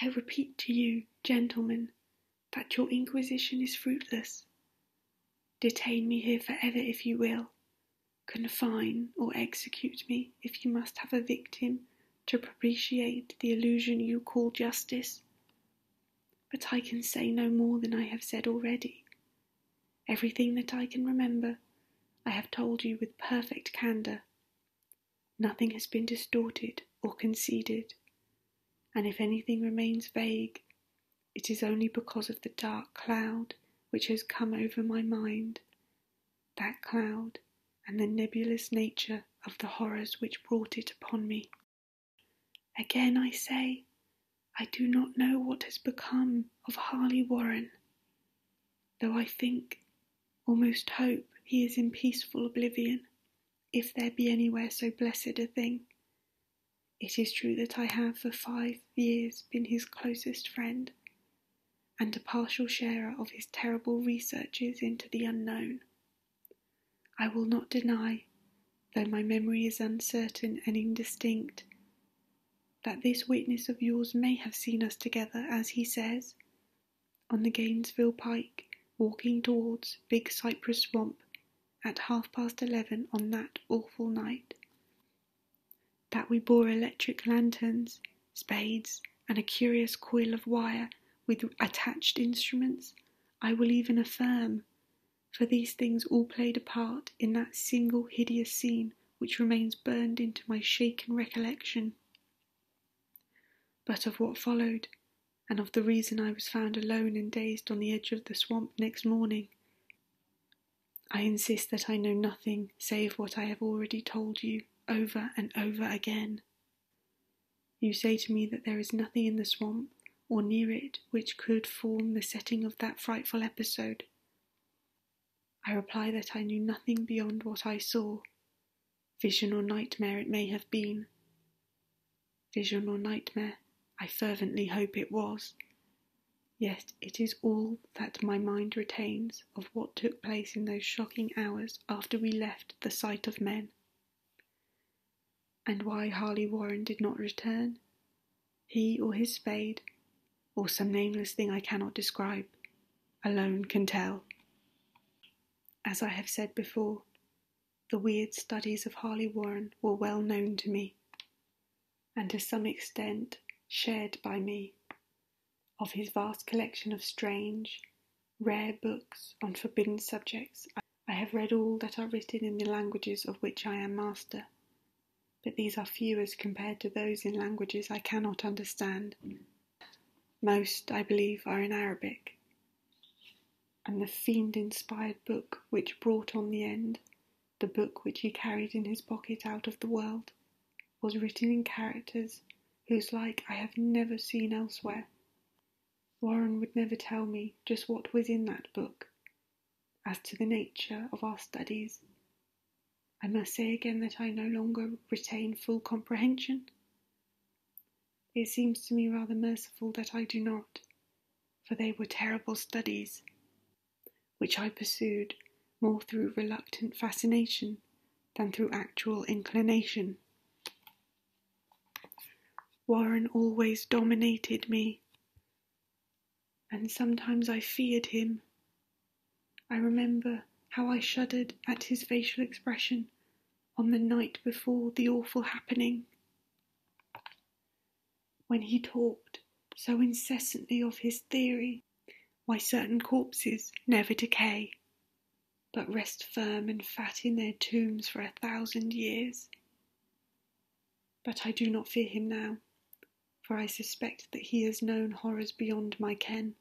I repeat to you, gentlemen, that your inquisition is fruitless. Detain me here for ever if you will, confine or execute me if you must have a victim to propitiate the illusion you call justice. But I can say no more than I have said already. Everything that I can remember, I have told you with perfect candour. Nothing has been distorted or conceded, and if anything remains vague, it is only because of the dark cloud which has come over my mind, that cloud and the nebulous nature of the horrors which brought it upon me. Again I say, I do not know what has become of Harley Warren, though I think almost hope he is in peaceful oblivion, if there be anywhere so blessed a thing. It is true that I have for five years been his closest friend, and a partial sharer of his terrible researches into the unknown. I will not deny, though my memory is uncertain and indistinct, that this witness of yours may have seen us together, as he says, on the Gainesville Pike, walking towards Big Cypress Swamp at half past eleven on that awful night. That we bore electric lanterns, spades, and a curious coil of wire with attached instruments, I will even affirm, for these things all played a part in that single hideous scene which remains burned into my shaken recollection. But of what followed, and of the reason I was found alone and dazed on the edge of the swamp next morning, I insist that I know nothing save what I have already told you over and over again. You say to me that there is nothing in the swamp or near it which could form the setting of that frightful episode. I reply that I knew nothing beyond what I saw, Vision or nightmare it may have been. Vision or nightmare, I fervently hope it was. Yet it is all that my mind retains of what took place in those shocking hours after we left the sight of men. And why Harley Warren did not return, he or his spade, or some nameless thing I cannot describe, alone can tell. As I have said before, the weird studies of Harley Warren were well known to me, and to some extent shared by me. Of his vast collection of strange, rare books on forbidden subjects, I have read all that are written in the languages of which I am master, but these are few as compared to those in languages I cannot understand. Most, I believe, are in Arabic, and the fiend inspired book which brought on the end, the book which he carried in his pocket out of the world, was written in characters whose like I have never seen elsewhere. Warren would never tell me just what was in that book. As to the nature of our studies, I must say again that I no longer retain full comprehension. It seems to me rather merciful that I do not, for they were terrible studies, which I pursued more through reluctant fascination than through actual inclination. Warren always dominated me, and sometimes I feared him. I remember how I shuddered at his facial expression on the night before the awful happening. When he talked so incessantly of his theory why certain corpses never decay, but rest firm and fat in their tombs for a thousand years. But I do not fear him now, for I suspect that he has known horrors beyond my ken.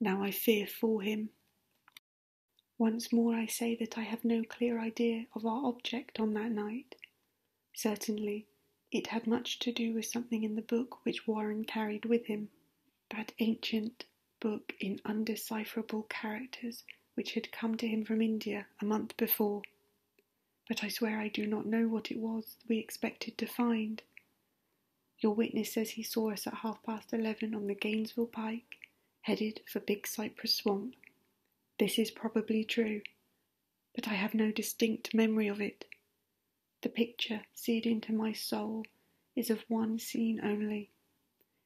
Now I fear for him. Once more I say that I have no clear idea of our object on that night. Certainly, it had much to do with something in the book which Warren carried with him, that ancient book in undecipherable characters which had come to him from India a month before. But I swear I do not know what it was we expected to find. Your witness says he saw us at half past eleven on the Gainesville Pike, headed for Big Cypress Swamp. This is probably true, but I have no distinct memory of it. The picture seared into my soul is of one scene only,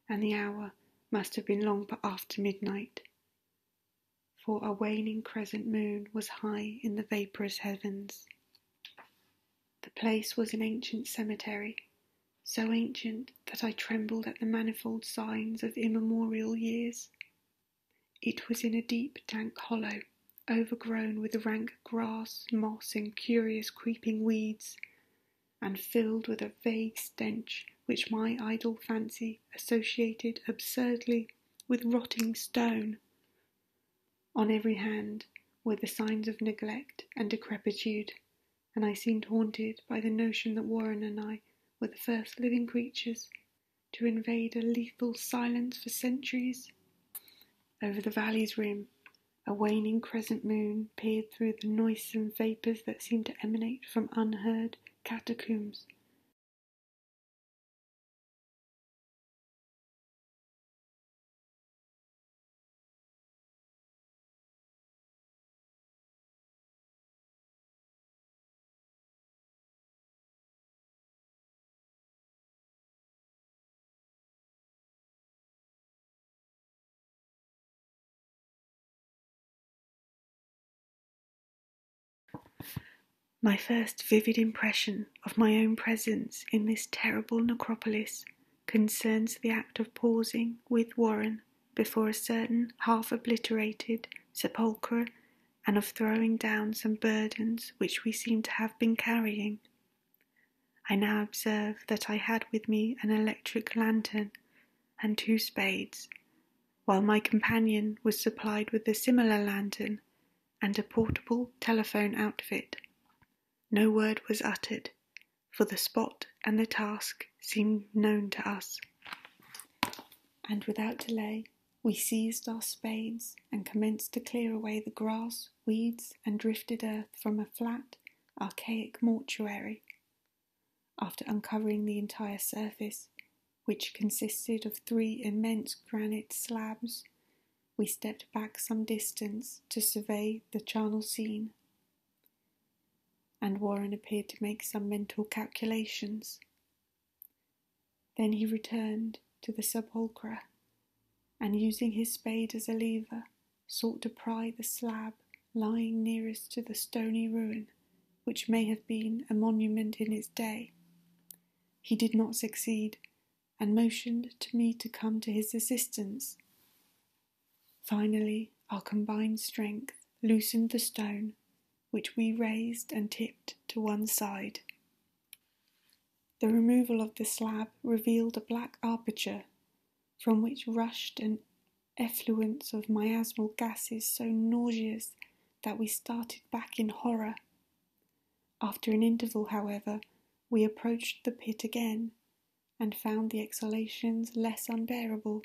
and the hour must have been long after midnight, for a waning crescent moon was high in the vaporous heavens. The place was an ancient cemetery, so ancient that I trembled at the manifold signs of immemorial years. It was in a deep, dank hollow, overgrown with rank grass, moss, and curious creeping weeds, and filled with a vague stench which my idle fancy associated absurdly with rotting stone. On every hand were the signs of neglect and decrepitude, and I seemed haunted by the notion that Warren and I were the first living creatures to invade a lethal silence for centuries. Over the valley's rim, a waning crescent moon peered through the noisome vapours that seemed to emanate from unheard catacombs. My first vivid impression of my own presence in this terrible necropolis concerns the act of pausing with Warren before a certain half obliterated sepulchre and of throwing down some burdens which we seem to have been carrying. I now observe that I had with me an electric lantern and two spades, while my companion was supplied with a similar lantern and a portable telephone outfit. No word was uttered, for the spot and the task seemed known to us, and without delay we seized our spades and commenced to clear away the grass, weeds, and drifted earth from a flat, archaic mortuary. After uncovering the entire surface, which consisted of three immense granite slabs, we stepped back some distance to survey the charnel scene and Warren appeared to make some mental calculations. Then he returned to the sepulchre, and using his spade as a lever, sought to pry the slab lying nearest to the stony ruin, which may have been a monument in its day. He did not succeed, and motioned to me to come to his assistance. Finally, our combined strength loosened the stone, which we raised and tipped to one side. The removal of the slab revealed a black aperture from which rushed an effluence of miasmal gases so nauseous that we started back in horror. After an interval, however, we approached the pit again and found the exhalations less unbearable.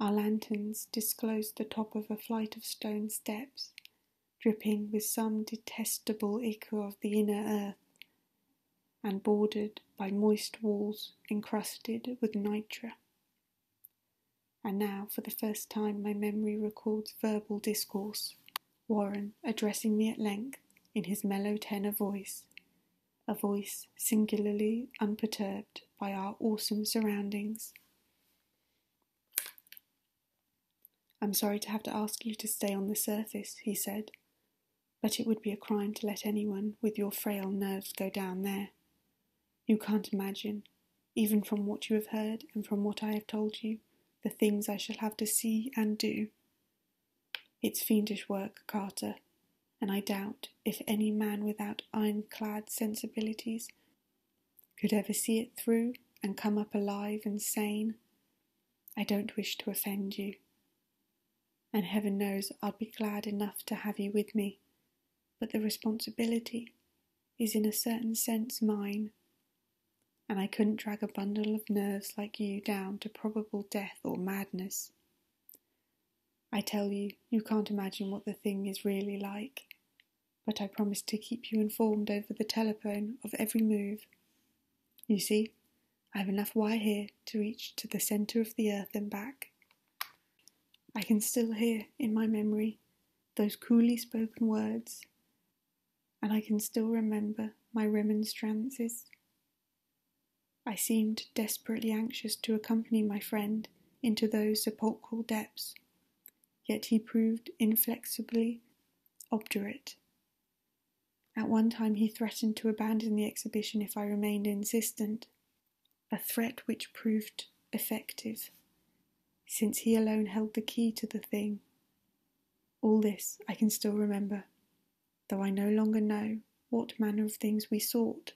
Our lanterns disclosed the top of a flight of stone steps, dripping with some detestable echo of the inner earth, and bordered by moist walls encrusted with nitre. And now, for the first time, my memory records verbal discourse, Warren addressing me at length in his mellow tenor voice a voice singularly unperturbed by our awesome surroundings. I'm sorry to have to ask you to stay on the surface, he said, but it would be a crime to let anyone with your frail nerves go down there. You can't imagine, even from what you have heard and from what I have told you, the things I shall have to see and do. It's fiendish work, Carter, and I doubt if any man without ironclad sensibilities could ever see it through and come up alive and sane. I don't wish to offend you, and heaven knows i will be glad enough to have you with me, but the responsibility is in a certain sense mine, and I couldn't drag a bundle of nerves like you down to probable death or madness. I tell you, you can't imagine what the thing is really like, but I promise to keep you informed over the telephone of every move. You see, I've enough wire here to reach to the centre of the earth and back. I can still hear in my memory those coolly spoken words, and I can still remember my remonstrances I seemed desperately anxious to accompany my friend into those sepulchral depths, yet he proved inflexibly obdurate. At one time, he threatened to abandon the exhibition if I remained insistent, a threat which proved effective, since he alone held the key to the thing. All this I can still remember, though I no longer know what manner of things we sought.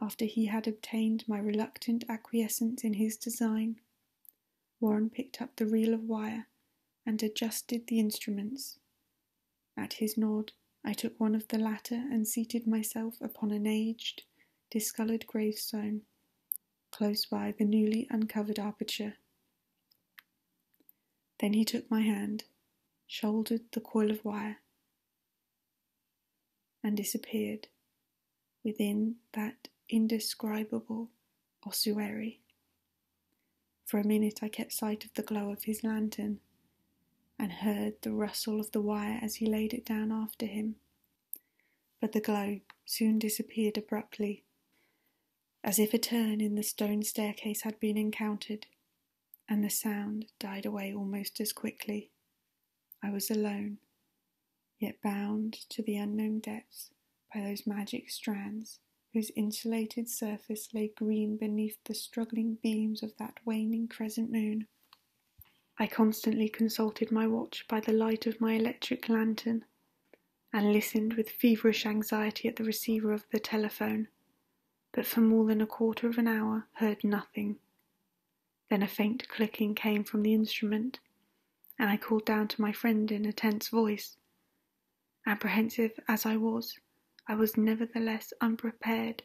After he had obtained my reluctant acquiescence in his design, Warren picked up the reel of wire and adjusted the instruments. At his nod, I took one of the latter and seated myself upon an aged, discoloured gravestone close by the newly uncovered aperture. Then he took my hand, shouldered the coil of wire, and disappeared within that indescribable ossuary. For a minute I kept sight of the glow of his lantern and heard the rustle of the wire as he laid it down after him. But the glow soon disappeared abruptly, as if a turn in the stone staircase had been encountered, and the sound died away almost as quickly. I was alone, yet bound to the unknown depths by those magic strands whose insulated surface lay green beneath the struggling beams of that waning crescent moon. I constantly consulted my watch by the light of my electric lantern, and listened with feverish anxiety at the receiver of the telephone but for more than a quarter of an hour heard nothing. Then a faint clicking came from the instrument, and I called down to my friend in a tense voice. Apprehensive as I was, I was nevertheless unprepared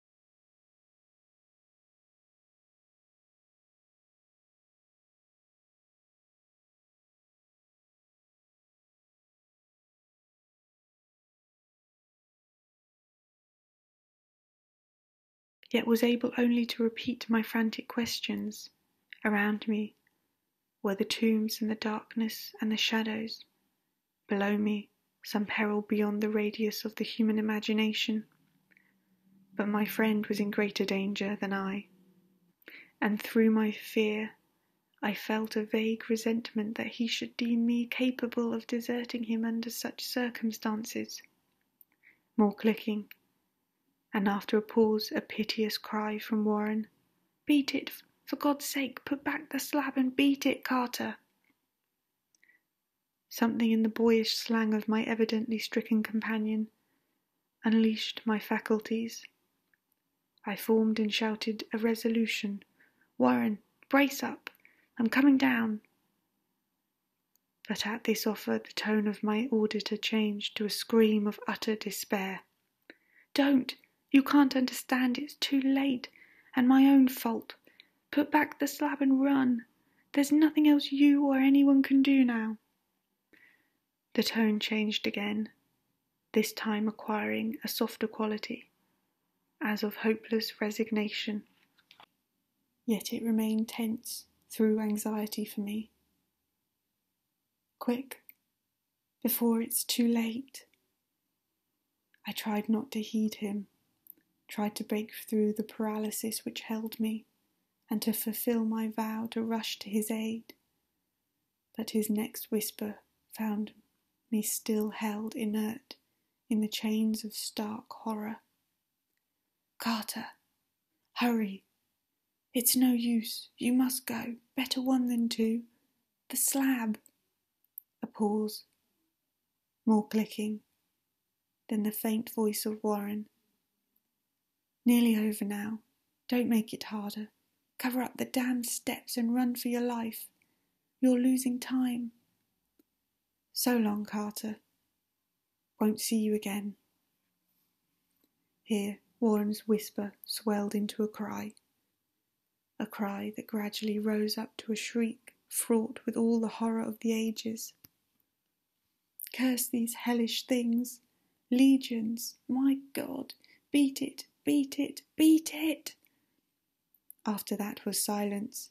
yet was able only to repeat my frantic questions. Around me were the tombs and the darkness and the shadows. Below me, some peril beyond the radius of the human imagination. But my friend was in greater danger than I, and through my fear I felt a vague resentment that he should deem me capable of deserting him under such circumstances. More clicking, and after a pause, a piteous cry from Warren Beat it, for God's sake, put back the slab and beat it, Carter. Something in the boyish slang of my evidently stricken companion unleashed my faculties. I formed and shouted a resolution Warren, brace up! I'm coming down! But at this offer, the tone of my auditor changed to a scream of utter despair. Don't! You can't understand. It's too late, and my own fault. Put back the slab and run. There's nothing else you or anyone can do now. The tone changed again, this time acquiring a softer quality, as of hopeless resignation. Yet it remained tense through anxiety for me. Quick, before it's too late. I tried not to heed him, tried to break through the paralysis which held me, and to fulfill my vow to rush to his aid. But his next whisper found me still held inert in the chains of stark horror. Carter, hurry! It's no use. You must go. Better one than two. The slab. A pause. More clicking. Then the faint voice of Warren. Nearly over now. Don't make it harder. Cover up the damned steps and run for your life. You're losing time. So long, Carter. Won't see you again. Here, Warren's whisper swelled into a cry. A cry that gradually rose up to a shriek fraught with all the horror of the ages. Curse these hellish things. Legions, my God, beat it, beat it, beat it. After that was silence.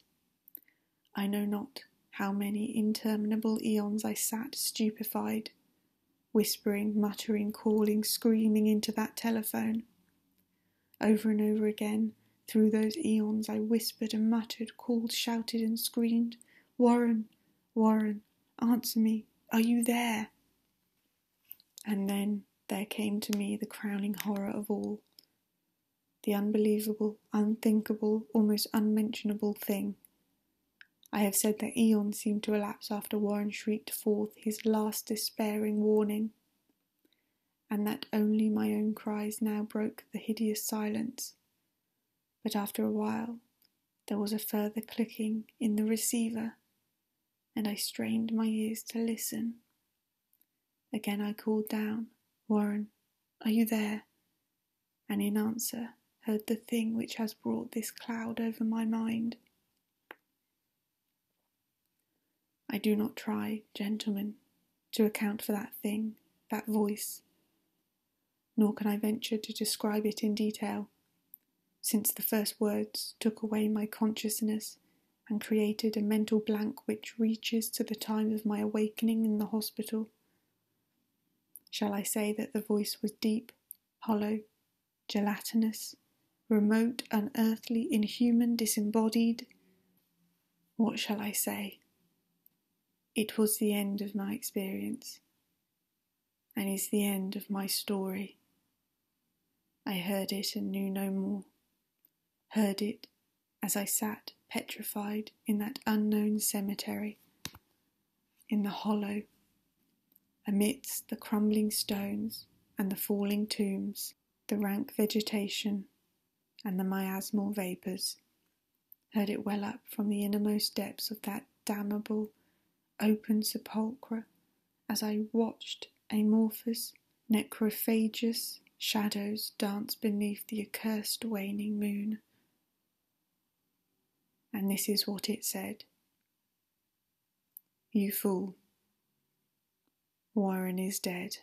I know not how many interminable eons I sat stupefied, whispering, muttering, calling, screaming into that telephone. Over and over again, through those eons, I whispered and muttered, called, shouted, and screamed Warren, Warren, answer me. Are you there? And then there came to me the crowning horror of all the unbelievable, unthinkable, almost unmentionable thing. I have said that eons seemed to elapse after Warren shrieked forth his last despairing warning, and that only my own cries now broke the hideous silence but after a while there was a further clicking in the receiver, and I strained my ears to listen. Again I called down, Warren, are you there? And in answer, heard the thing which has brought this cloud over my mind. I do not try, gentlemen, to account for that thing, that voice, nor can I venture to describe it in detail, since the first words took away my consciousness and created a mental blank which reaches to the time of my awakening in the hospital. Shall I say that the voice was deep, hollow, gelatinous, remote, unearthly, inhuman, disembodied? What shall I say? It was the end of my experience and is the end of my story. I heard it and knew no more. Heard it as I sat petrified in that unknown cemetery, in the hollow, amidst the crumbling stones and the falling tombs, the rank vegetation and the miasmal vapours heard it well up from the innermost depths of that damnable, open sepulchre as I watched amorphous, necrophagous shadows dance beneath the accursed waning moon. And this is what it said You fool, Warren is dead.